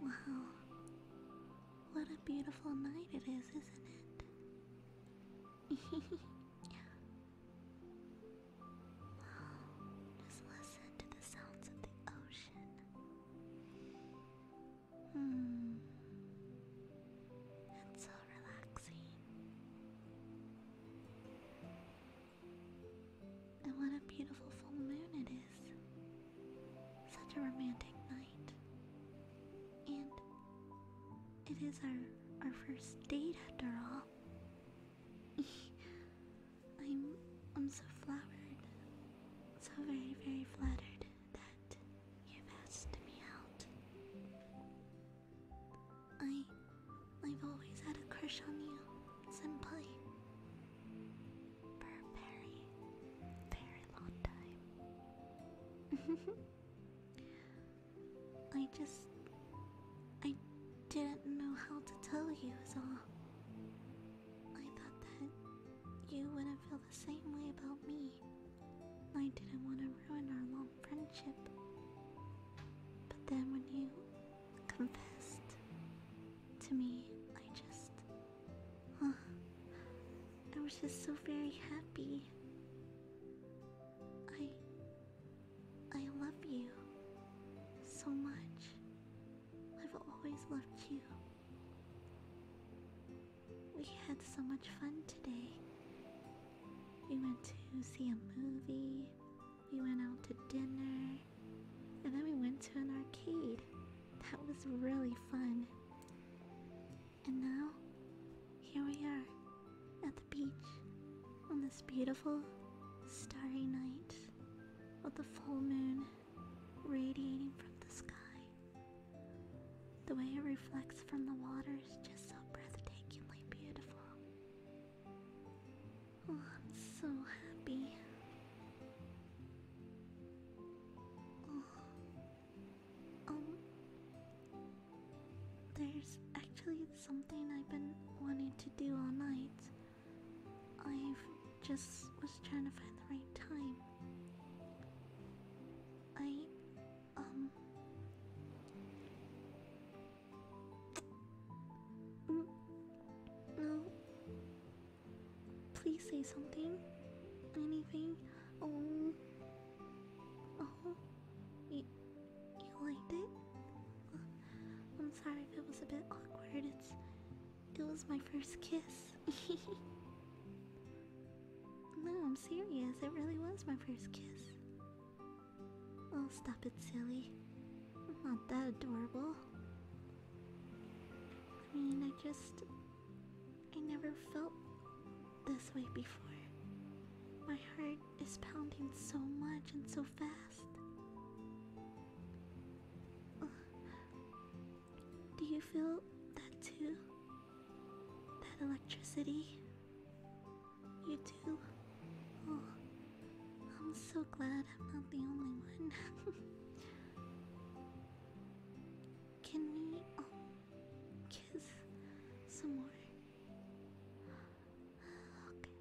Wow. What a beautiful night it is, isn't it? Just listen to the sounds of the ocean. Hmm. so relaxing. And what a beautiful full moon it is. Such a romantic night. And it is our our first date after all. I'm I'm so flattered. So very, very flattered that you asked me out. I. I've always had a crush on you, simply For a very, very long time. I just. I didn't know how to tell you, is all. I thought that you wouldn't feel the same way about me. I didn't want to ruin our long friendship. But then when you confessed to me, I just. I was just so very happy. I. I love you so much. I've always loved you. We had so much fun today. We went to see a movie, we went out to dinner, and then we went to an arcade. That was really fun. And now, here we are at the beach on this beautiful starry night with the full moon radiating from the sky. The way it reflects from the water is just so breathtakingly beautiful. Oh, I'm so happy. Oh. Um, there's actually something I've been wanting to do all night. I've just was trying to find the right time. I, um. Mm, no. Please say something. Anything. Oh. Oh. You, you liked it? Uh, I'm sorry if it was a bit awkward. It's it was my first kiss. no, I'm serious. It really was my first kiss. Oh, stop it, silly. I'm not that adorable. I mean, I just. I never felt this way before. My heart is pounding so much and so fast. Do you feel that too? That electricity? You do? Oh, I'm so glad I'm not the only one. Can we um, kiss some more? Okay.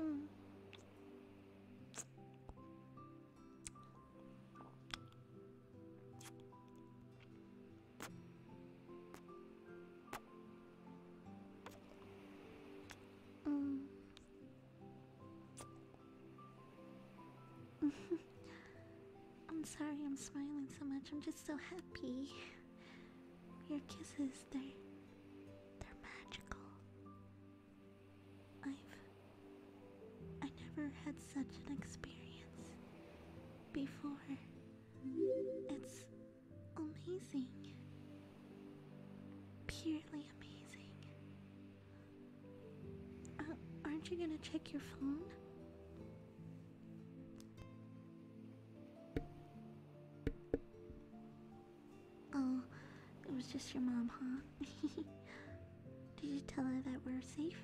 Mm. Mm. I'm sorry I'm smiling so much. I'm just so happy. Your kisses, they're they're magical. I've. I never had such an experience before. It's amazing. Purely amazing. Uh, aren't you gonna check your phone? Oh, it was just your mom, huh? Did you tell her that we're safe?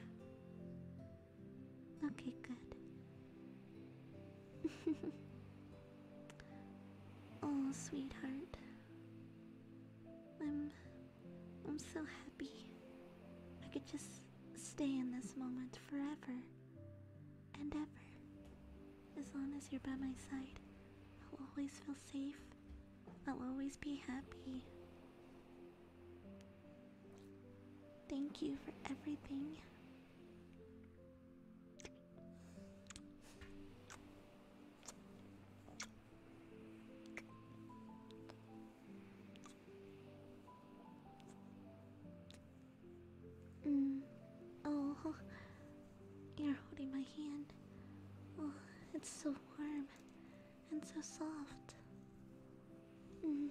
Okay, good. oh, sweetheart. I'm I'm so happy. I could just stay in this moment forever and ever. As long as you're by my side, I'll always feel safe. I'll always be happy. Thank you for everything. Mm, oh, you're holding my hand. Oh, it's so warm and so soft. Mm.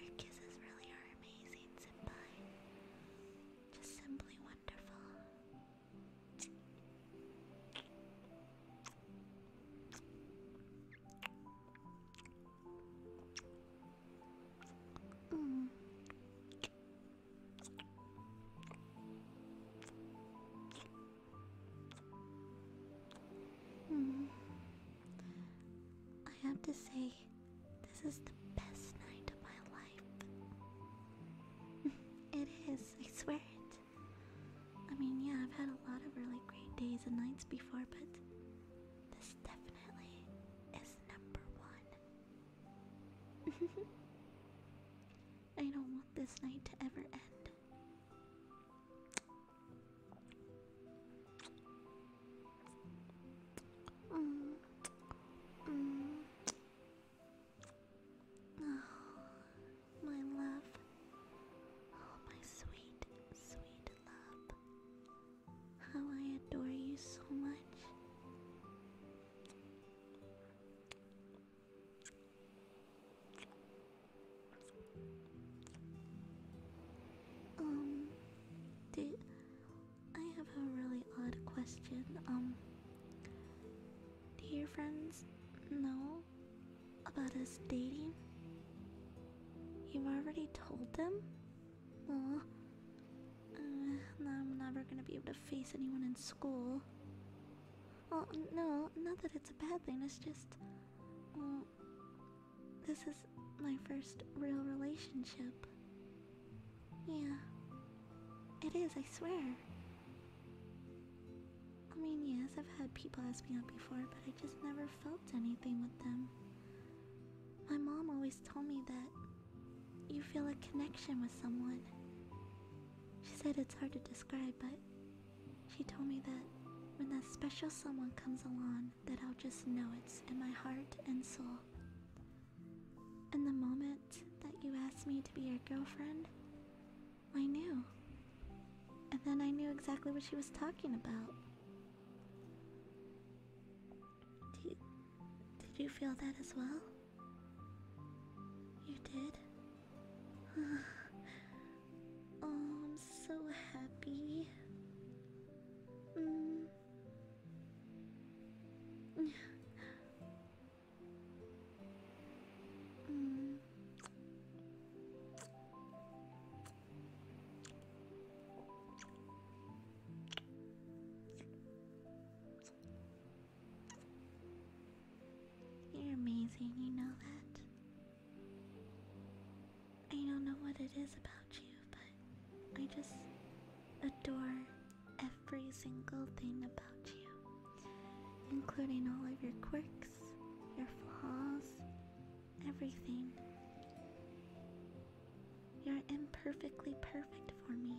Your kisses really are amazing, Senpai. simply wonderful. Mm. Mm. I have to say, this is the best night of my life. it is, I swear it. I mean, yeah, I've had a lot of really great days and nights before, but this definitely is number one. I don't want this night to ever end. Mm. Mm. Oh, my love. Oh, my sweet, sweet love. How I adore you so much. Um, do, I have a really odd question. Um, do friends know about us dating? You've already told them? Aw. Uh, now I'm never gonna be able to face anyone in school. Well, no, not that it's a bad thing, it's just. this is my first real relationship. Yeah. It is, I swear. I mean, yes, I've had people ask me out before, but I just never felt anything with them. My mom always told me that you feel a connection with someone. She said it's hard to describe, but she told me that when that special someone comes along, that I'll just know it's in my heart and soul. And the moment that you asked me to be your girlfriend, I knew. And then I knew exactly what she was talking about. did you feel that as well? You did? Oh, I'm so happy. Mm. mm. You're amazing, you know that. I don't know what it is about you, but I just adore every single thing about you, including all of your quirks your flaws, everything. You're imperfectly perfect for me.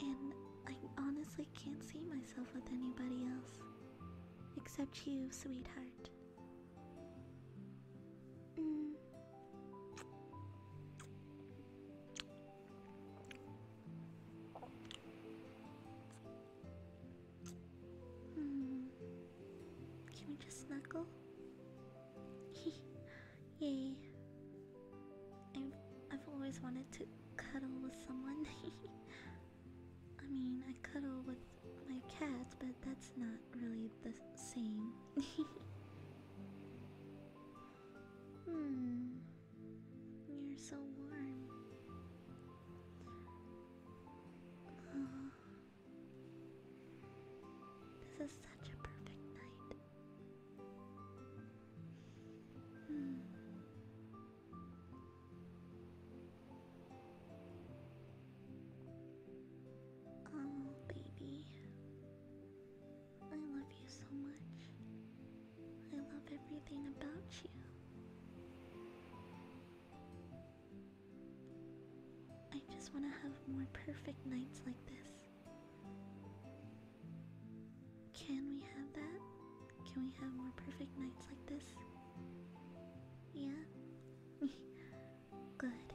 And I honestly can't see myself with anybody else except you, sweetheart. Mm. Hmm. Can we just snuggle? Yay. I've, I've always wanted to cuddle with someone. I mean, I cuddle with my cat, but that's not really the same. hmm. You're so warm. This is such a perfect night. Oh, baby. I love you so much. I love everything about you. I just want to have more perfect nights like this. Can we have that? Can we have more perfect nights like this? Yeah? Good.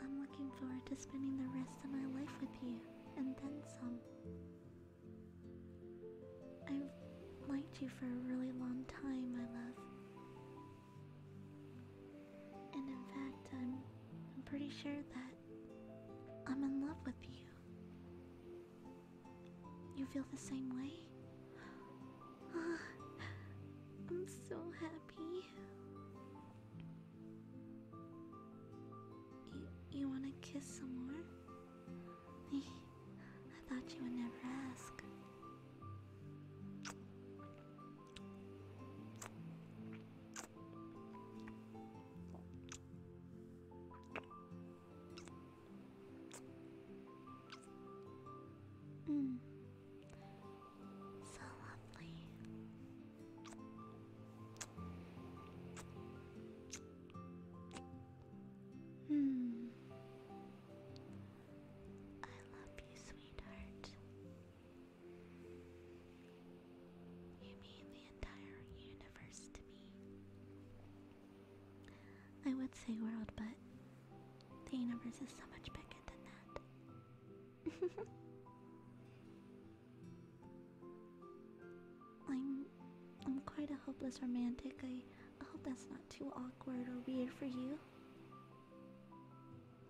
I'm looking forward to spending the rest of my life with you, and then some. I've liked you for a really long time, my love. And in fact, I'm, pretty sure that I'm in love with you. You feel the same way? Ah, I'm so happy. You, want to kiss some more? I thought you would never ask. Mm. So lovely. Hmm. I love you, sweetheart. You mean the entire universe to me. I would say world, but the universe is so much bigger than that. I'm I'm quite a hopeless romantic. I, I hope that's not too awkward or weird for you.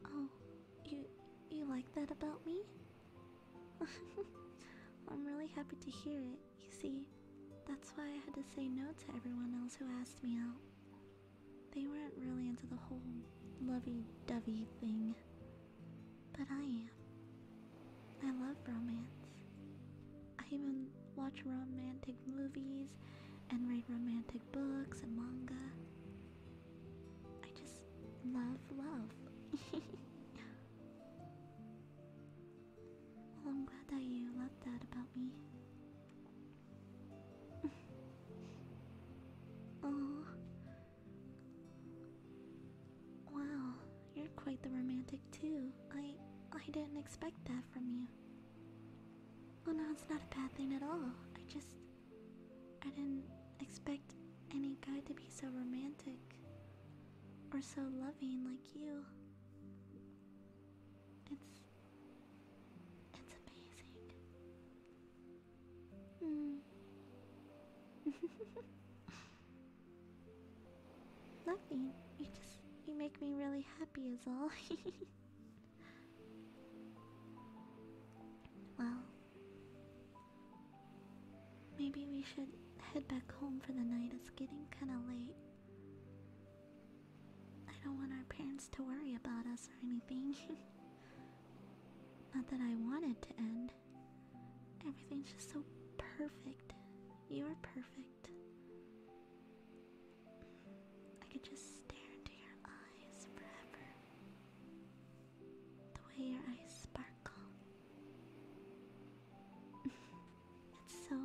Oh, you you like that about me? I'm really happy to hear it. You see, that's why I had to say no to everyone else who asked me out. They weren't really into the whole lovey-dovey thing. But I am. I love romance. I even watch romantic movies and read romantic books and manga. I just love love. well, I'm glad that you love that about me. oh, Wow, you're quite the romantic too. I I didn't expect that from you. Oh no, it's not a bad thing at all. I just I didn't expect any guy to be so romantic or so loving like you. It's it's amazing. Mm. Nothing. You just you make me really happy is all. well maybe we should head back home for the night. It's getting kinda late. I don't want our parents to worry about us or anything. Not that I wanted to end. Everything's just so perfect. You are perfect. I could just stare into your eyes forever. The way your eyes sparkle. it's so,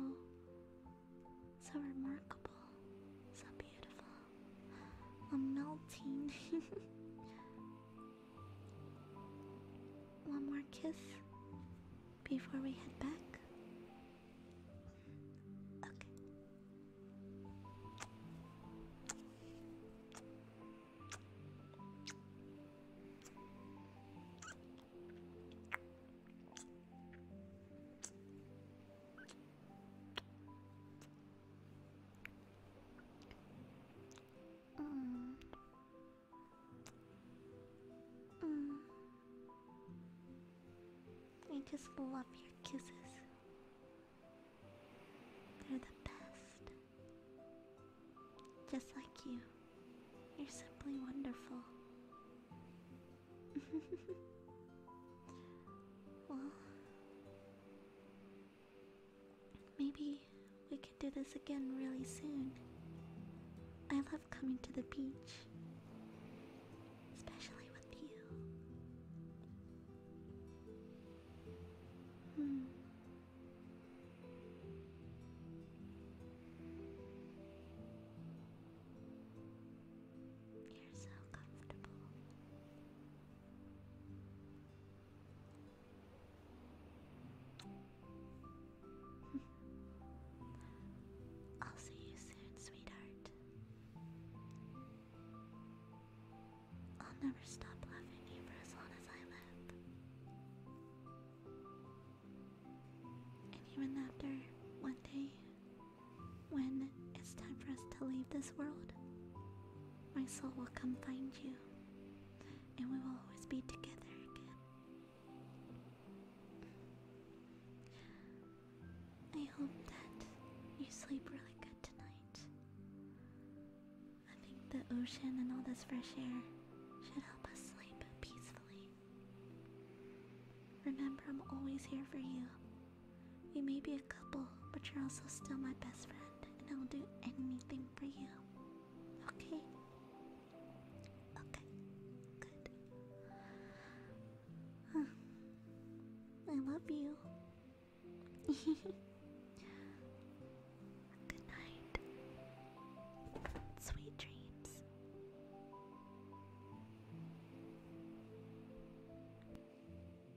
so remarkable, so beautiful. I'm melting. One more kiss before we head back. Okay. Mm. Mm. I just love your kisses. They're the best. Just like you. You're simply wonderful. well, Maybe we could do this again really soon. I love coming to the beach, especially with you. Hmm. You're so comfortable. I'll see you soon, sweetheart. I'll never stop loving you for as long as I live. And even after one day, when it's time for us to leave this world, my soul will come find you and we will always be together again. I hope that you sleep really good tonight. I think the ocean and all this fresh air should help us sleep peacefully. Remember, I'm always here for you. We may be a couple, but you're also still my best friend and I'll do anything for you. Okay? Okay, good. I love you. Good night. Sweet dreams.